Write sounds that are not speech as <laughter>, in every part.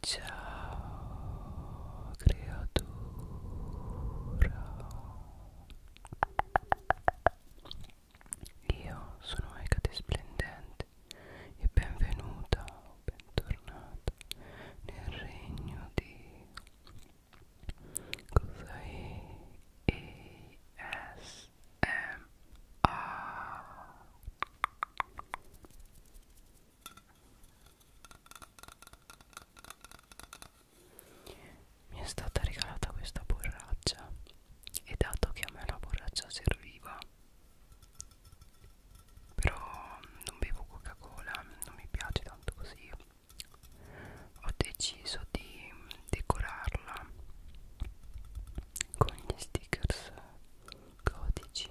Ciao creatura Io sono Ecate Splendente e benvenuta o bentornata nel regno di Cosa è? ASMR mi è stata regalata questa borraccia e dato che a me la borraccia serviva però non bevo coca cola non mi piace tanto così ho deciso di decorarla con gli stickers codici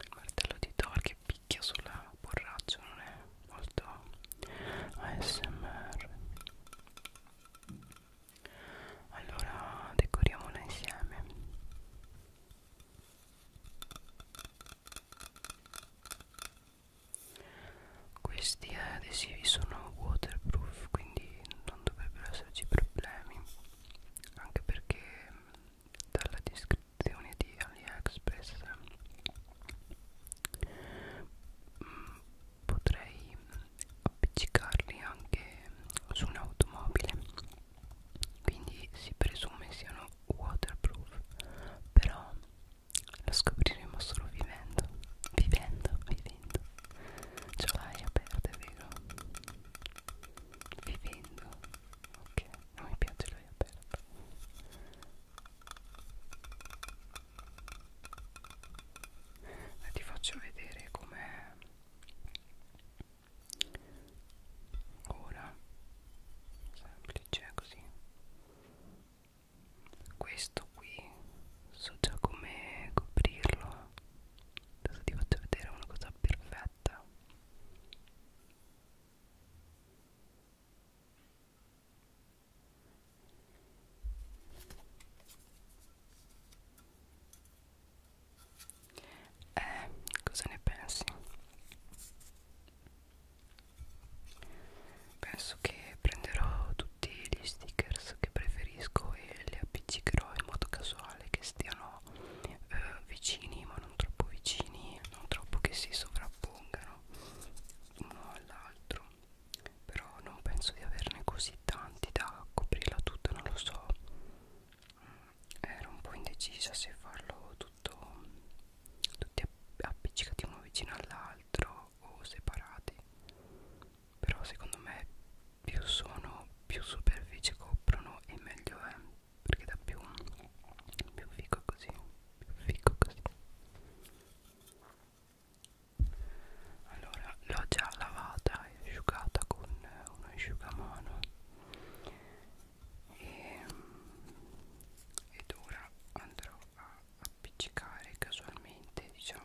il martello di Thor che picchia sulla borraccia non è molto ASMR allora decoriamola insieme questi adesivi sono waterproof quindi non dovrebbero esserci problemi anche perché dalla descrizione di AliExpress mm, potrei appiccicarli anche su un'automobile quindi si presume siano waterproof però lo scopriremo solo vivendo vivendo vivendo ce l'hai aperta vero vivendo ok non mi piace l'ho aperto e ti faccio vedere com'è ora semplice così questo qui so già come coprirlo adesso ti faccio vedere una cosa perfetta diretta. Eh, cosa ne pensi? Penso che prenderò tutti gli stickers che preferisco e li appiccicherò in modo casuale che stiano eh, vicini ma non troppo vicini non troppo che si sovrappongano uno all'altro però non penso di averne così tanti da coprirla tutta non lo so mm, ero un po' indecisa se farlo tutto tutti appiccicati uno vicino all'altro o separati però secondo me più sono più superfici coprono e meglio è perché dà più più fico così più fico così allora l'ho già lavata e asciugata con un asciugamano e, ed ora andrò a appiccicare casualmente diciamo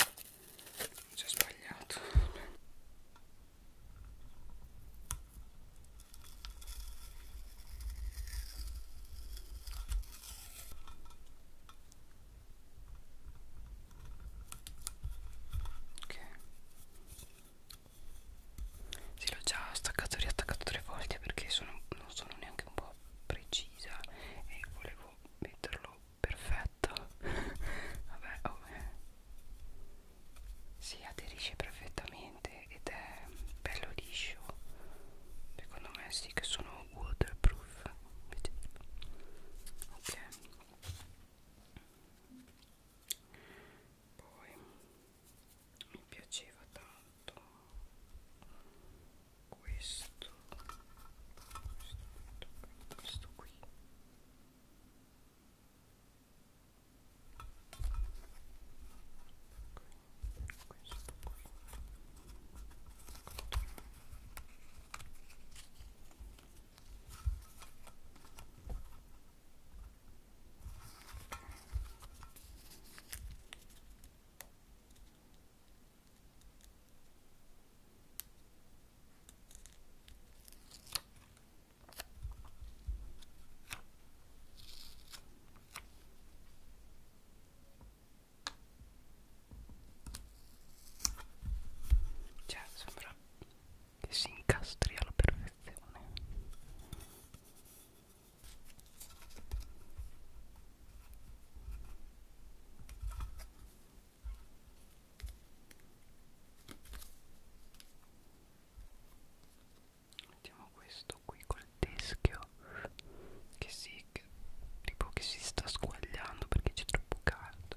ho già sbagliato ok sì l'ho già staccato e riattaccato tre volte perché sono, non sono neanche un po' precisa e volevo metterlo perfetta <laughs> vabbè oh, eh. si aderisce perfettamente ed è bello liscio secondo me sì che sono waterproof ok poi mi piaceva tanto questo questo, questo qui questo qui ok cioè, sembra che si incastri alla perfezione. Mettiamo questo qui col teschio che si, che, tipo che si sta squagliando perché c'è troppo caldo.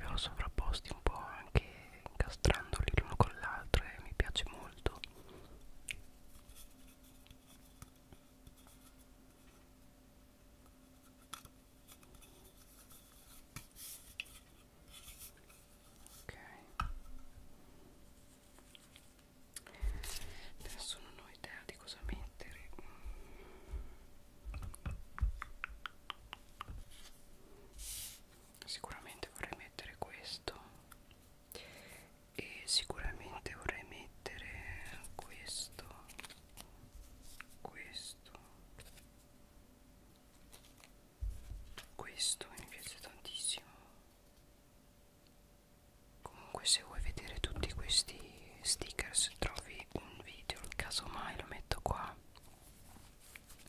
Li ho sovrapposti un po' anche incastrandoli l'uno con l'altro e mi piace molto ok adesso non ho idea di cosa mettere sicuramente vorrei mettere questo e sicuramente vorrei mettere questo questo questo mi piace tantissimo comunque se vuoi vedere tutti questi stickers trovi un video casomai lo metto qua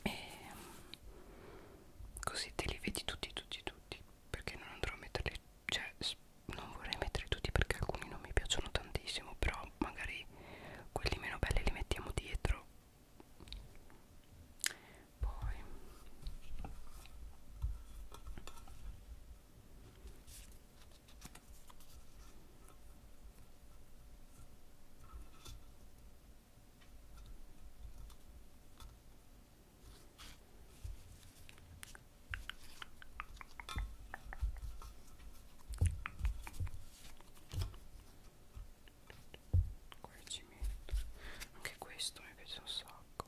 e ehm, così te li vedi tutti tutti tutti perché non andrò a metterli cioè non vorrei metterli tutti perché alcuni non mi piacciono tantissimo però magari quelli meno belli li mettiamo dietro poi Corrigimento. Anche questo mi piace un sacco.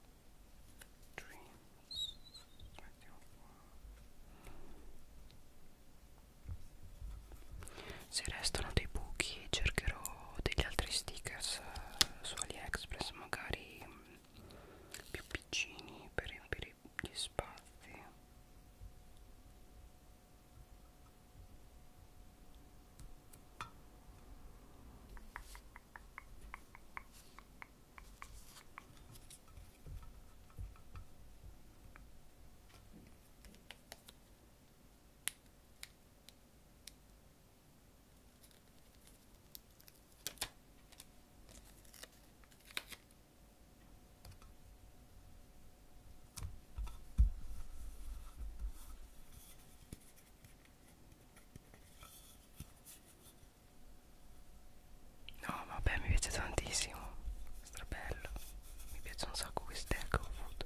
Dreams. Mettiamo qua. Se restano dei buchi cercherò degli altri stickers eh, su AliExpress magari mm, più piccini per riempire gli spazi No, vabbè, mi piace tantissimo. Strabello. Mi piace un sacco queste che ho ecco, avuto.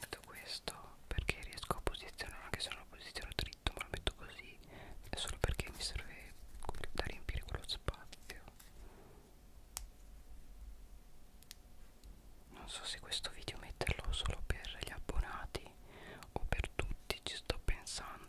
metto questo perché riesco a posizionare anche se non lo posiziono dritto ma lo metto così è solo perché mi serve da riempire quello spazio non so se questo video metterlo solo per gli abbonati o per tutti ci sto pensando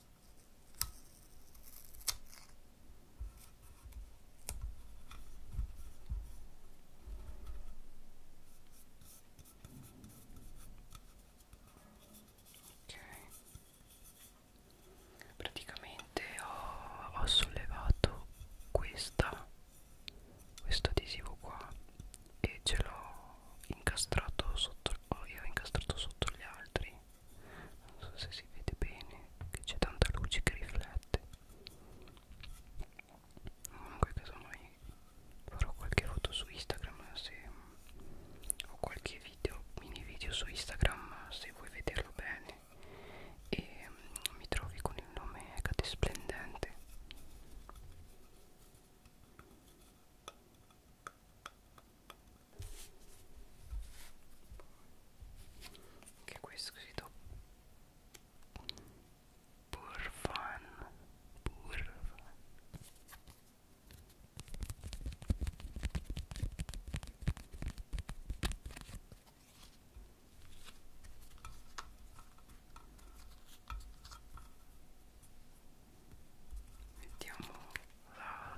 Ok, praticamente ho, ho sollevato questa, questo adesivo qua e ce l'ho incastrato sotto, oh, io ho incastrato sotto gli altri non so se si vede bene che c'è tanta luce che riflette comunque casomai farò qualche foto su Instagram se ho qualche video mini video su Instagram se vuoi vederlo bene e um, mi trovi con il nome Cate Splendente che qui è scritto pur fun pur fun mettiamo la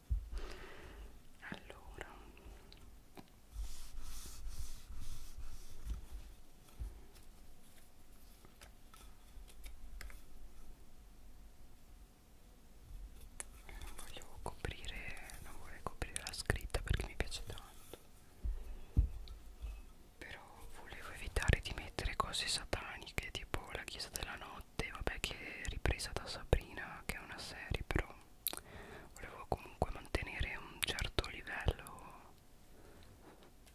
allora non volevo coprire non vorrei coprire la scritta perché mi piace tanto però volevo evitare di mettere cose sataniche tipo la chiesa della notte notte vabbè che è ripresa da Sabrina che è una serie però volevo comunque mantenere un certo livello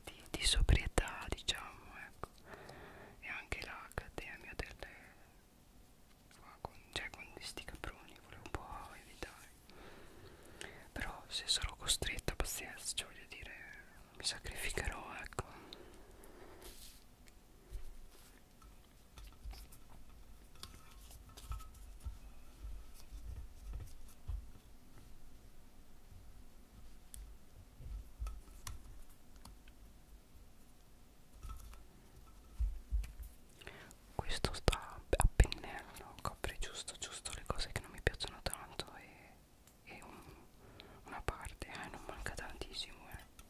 di, di sobrietà diciamo ecco e anche l'accademia delle con, cioè con questi caproni volevo un po' evitare però se sarò costretta pazienza cioè voglio dire mi sacrificherò ecco questo sta a pennello, copre giusto giusto le cose che non mi piacciono tanto e, e un, una parte, eh, non manca tantissimo, eh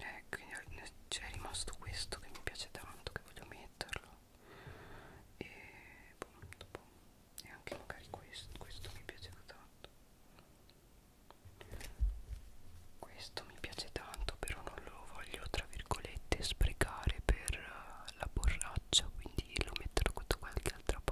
eh, quindi c'è cioè, rimasto questo che mi piace tanto che voglio metterlo e boh, dopo e anche magari questo questo mi piace tanto questo mi piace tanto però non lo voglio tra virgolette sprecare per uh, la borraccia quindi lo metterò da qualche altra parte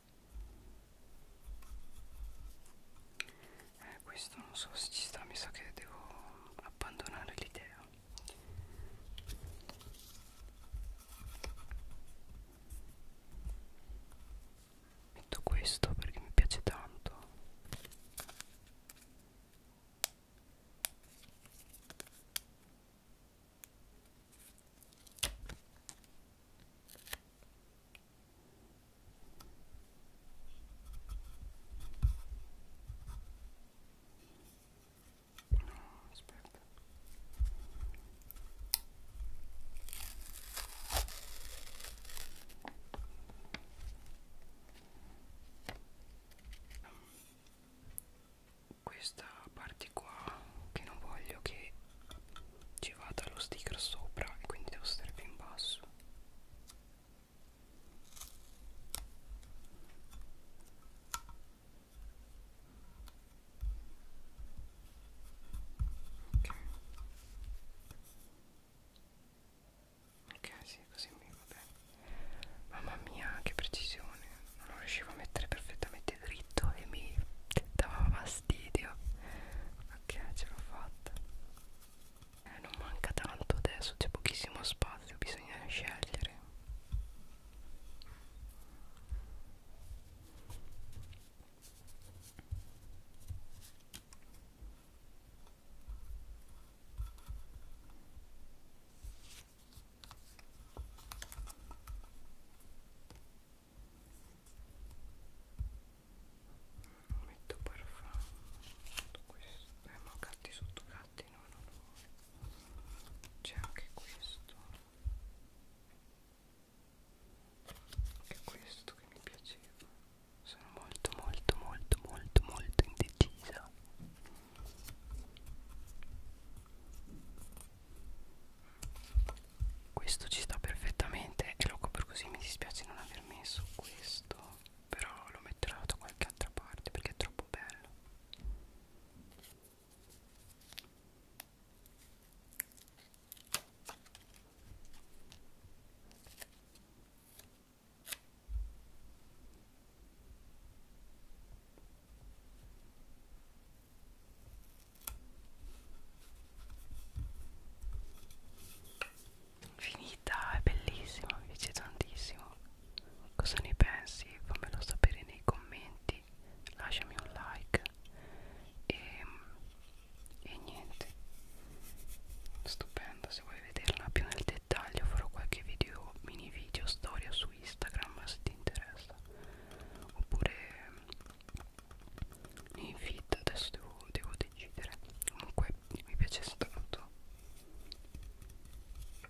eh, questo non so se ci sta mi sa che devo abbandonare l'idea metto questo perché mi piace tanto No, aspetta. Questa parte qua che non voglio che ci vada lo sticker sopra e quindi devo stare più in basso ok ok sì così mi va bene mamma mia che precisione non lo riuscivo a mettere perfettamente dritto e mi dava fastidio ok ce l'ho fatta eh, non manca tanto adesso c'è pochissimo spazio bisogna scegliere metto parfum tutto questo eh ma gatti sotto gatti no no no c'è anche questo anche questo che mi piaceva sono molto molto molto molto molto indecisa questo ci sta perfettamente e lo copro così mi dispiace non aver messo questo però lo metterò da qualche altra parte perché è troppo bello Finita, è bellissima, mi piace tantissimo. Cosa ne pensi? Fammelo sapere nei commenti, lasciami un like e, ehm, e niente. Stupenda, se vuoi vederla più nel dettaglio farò qualche video, mini video, storia su su Instagram se ti interessa oppure nei feed adesso devo, devo decidere comunque mi piace tanto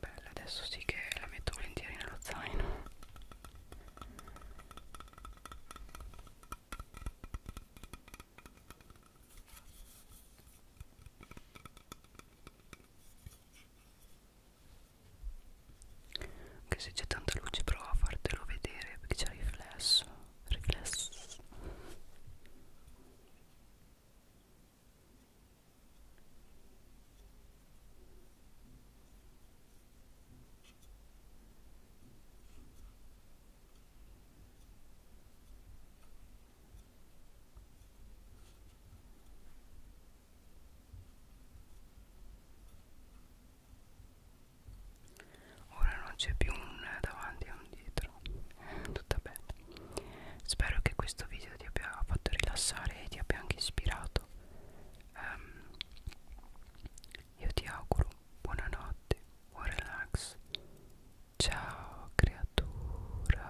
bella adesso sì che la metto volentieri nello zaino anche se c'è tanta luce prova a fartelo vedere perché c'è riflesso riflesso Ora non c'è più un davanti e un dietro, eh, tutta bene. Spero che questo video ti abbia fatto rilassare e ti abbia anche ispirato. Um, io ti auguro buonanotte, buon relax. Ciao creatura.